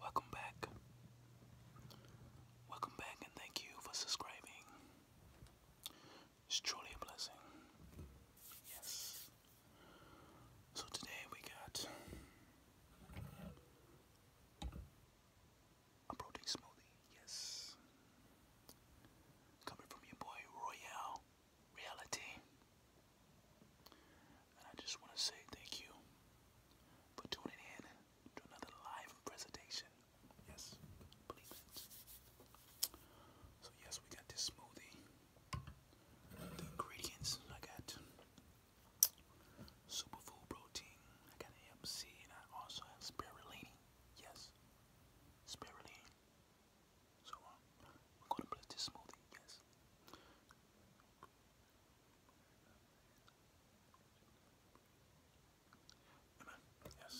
Welcome back. Welcome back and thank you for subscribing. It's truly a blessing. Yes. So today we got a protein smoothie. Yes. Coming from your boy Royale reality. And I just want to say thank you for tuning in to another live presentation. Yes, believe it. So, yes, we got this smoothie. The ingredients I got superfood protein, I got AMC, and I also have spirulina. Yes, spirulina. So um, I'm gonna put this smoothie, yes. Yes.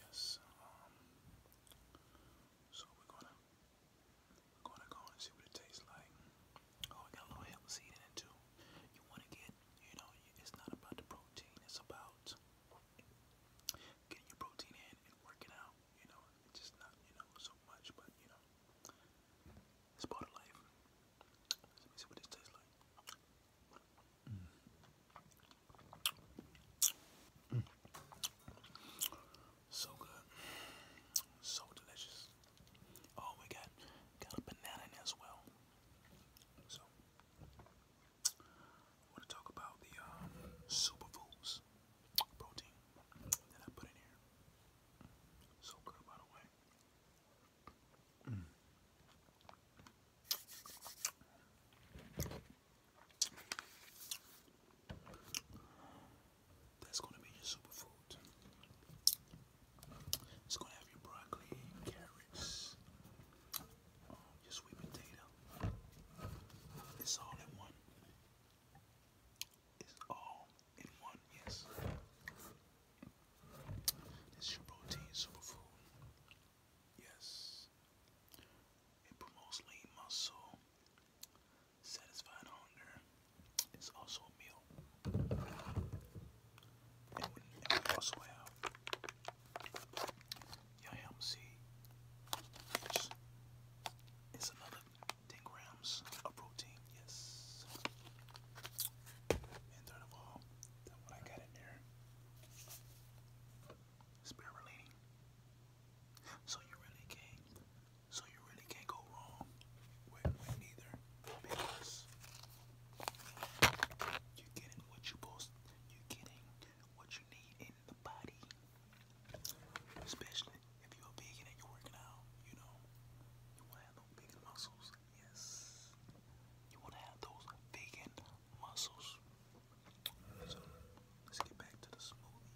Yes. Um, so we're gonna we're gonna go and see what it tastes like. Oh, I got a little hemp seed in it too. You wanna get, you know, it's not about the protein. It's about getting your protein in and working out, you know, it's just not, you know, so much, but you know, it's part of life. Let me see what this tastes like. Mm. Mm. So good, so delicious. Oh, we got got a banana in as well. So I want to talk about the um, superfoods protein that I put in here. So good, by the way. That's going to be your superfood. It's going to have your broccoli, carrots, your sweet potato. It's all in one. It's all in one, yes. It's your protein superfood. Yes. It promotes lean muscle, satisfying hunger. It's also a meal. And we, and we also have your MZ is another 10 grams of protein, yes. And third of all, what I got in there, spirulina. So you really can't, so you really can't go wrong with, neither because you're getting what you supposed you're getting what you need in the body, especially if you're a vegan and you're working out. You know, you want to have those vegan muscles. Yes, you want to have those vegan muscles. So let's get back to the smoothie.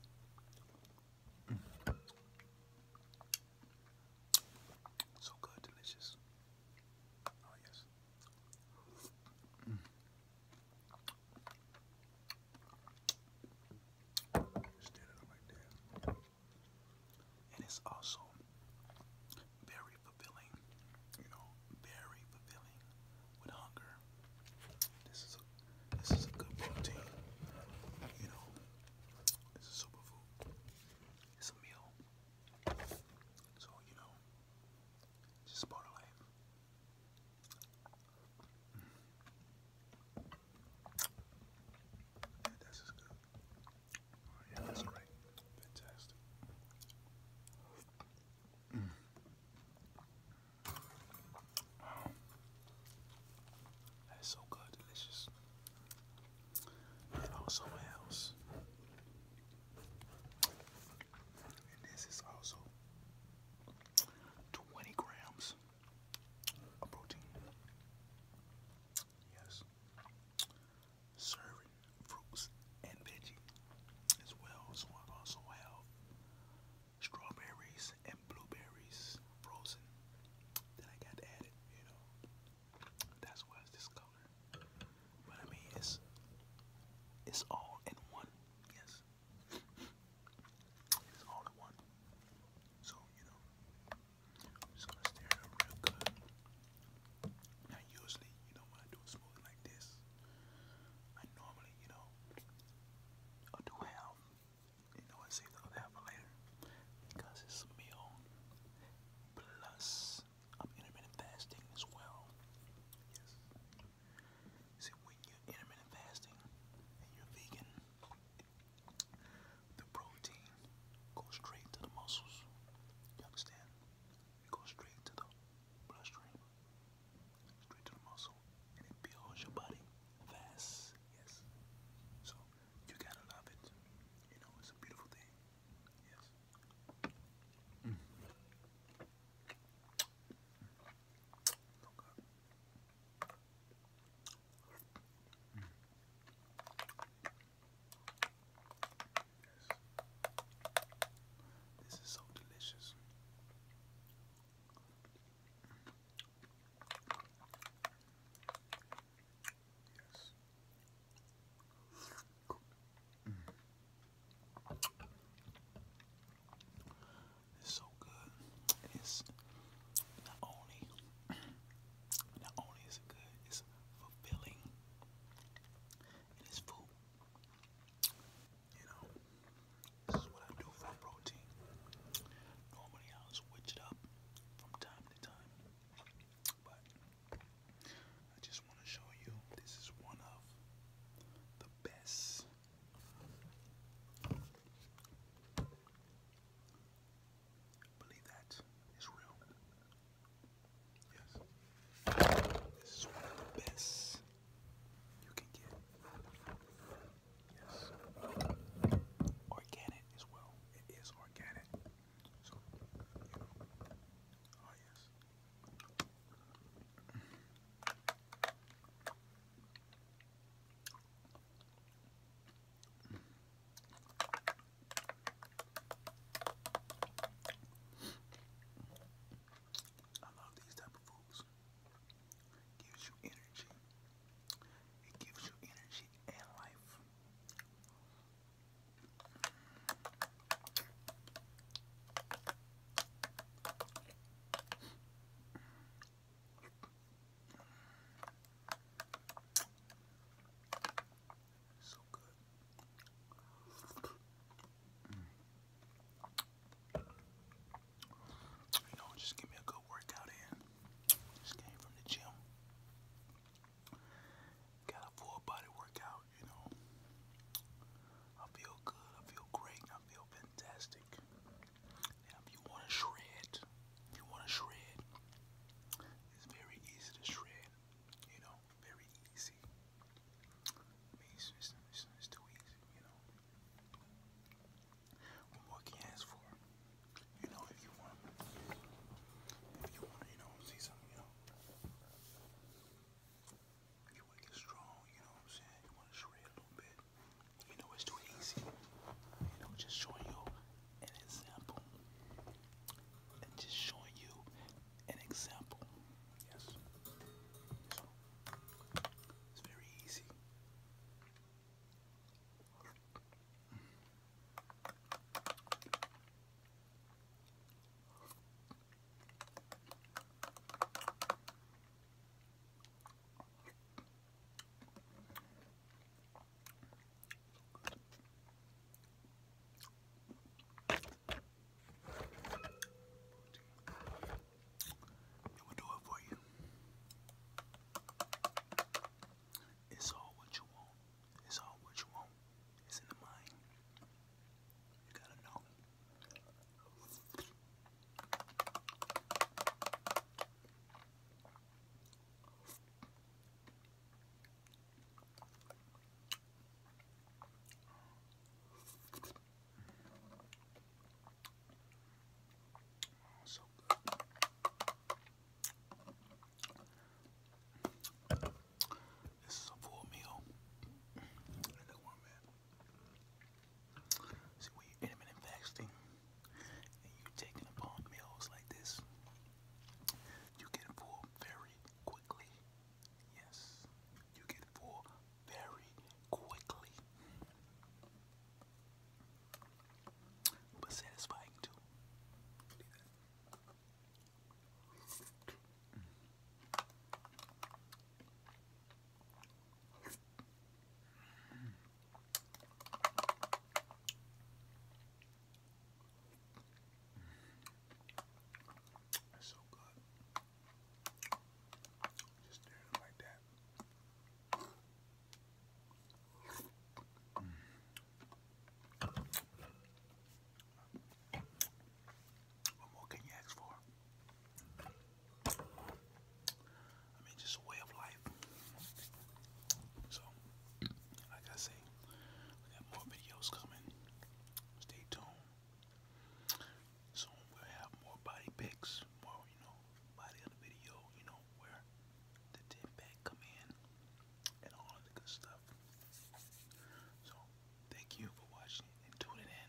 So good, delicious. Oh yes. And it's also very fulfilling, you know, very fulfilling with hunger. This is a this is a good protein. You know, it's a superfood. It's a meal. So, you know, just part of life. Mm. that's just good. yeah, that's great. Fantastic. Mm. That's so good, delicious and also a And this is also 20 grams of protein. Yes. Serving fruits and veggie as well. So I also have strawberries and blueberries frozen that I got added, you know. That's why it's this color. But I mean, it's it's all in one. Yes, it's all in one. So you know, I'm just gonna stir it real good. Now, usually, you know, when I do a smoothie like this, I normally, you know, i do half you know, I save the other half for later because it's a meal. Plus, I'm intermittent fasting as well. Yes. See, when you're intermittent fasting and you're vegan, the protein goes straight to the muscles. You understand? It goes straight to the bloodstream, straight to the muscle, and it builds your body fast. Yes. So you gotta love it. You know, it's a beautiful thing. Yes. Mm. This is so delicious. Yes. It's so good. It's not only not only is it good, it's fulfilling. It is food. You know, this is what I do for protein. Normally I'll switch it up from time to time, but I just want to show you this is one of the best believe that is real. Yes. This is one of the best you can get. Yes. Organic as well. It is organic. So, you know. Oh, yes. I love these type of foods. Gives you energy. It gives you energy and life. So good. You know, just give me a good workout in. Just came from the gym. Got a full body workout, you know. I feel good, I feel great, I feel fantastic. if you want to shred, you want to shred, it's very easy to shred, you know, very easy it's, too easy, you know. What more can you ask for? You know, if you want, if you want, you know, see something, you know. If you want to strong, you know what I'm saying? You want to shred a little bit. You know, it's too easy. You know, just showing you an example. And just showing you an example. Yes. It's very easy. It will do it for you. It's all what you want. It's all what you want. It's in the mind. You gotta know. This is a full meal. See, when you're intermittent fasting and you're taking upon meals like this, you get full very quickly. Yes, you get full very quickly. But satisfying too. It's so good. Just stir like that. Mm. What more can you ask for? I mean, just a way of life. So, like I say, we got more videos coming. Stay tuned. Soon we'll have more body picks, more, you know, body of video, you know, where the 10 pack come in and all the good stuff. So, thank you for watching and tuning in.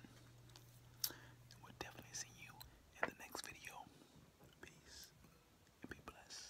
we'll definitely see you in the next video. Peace and be blessed.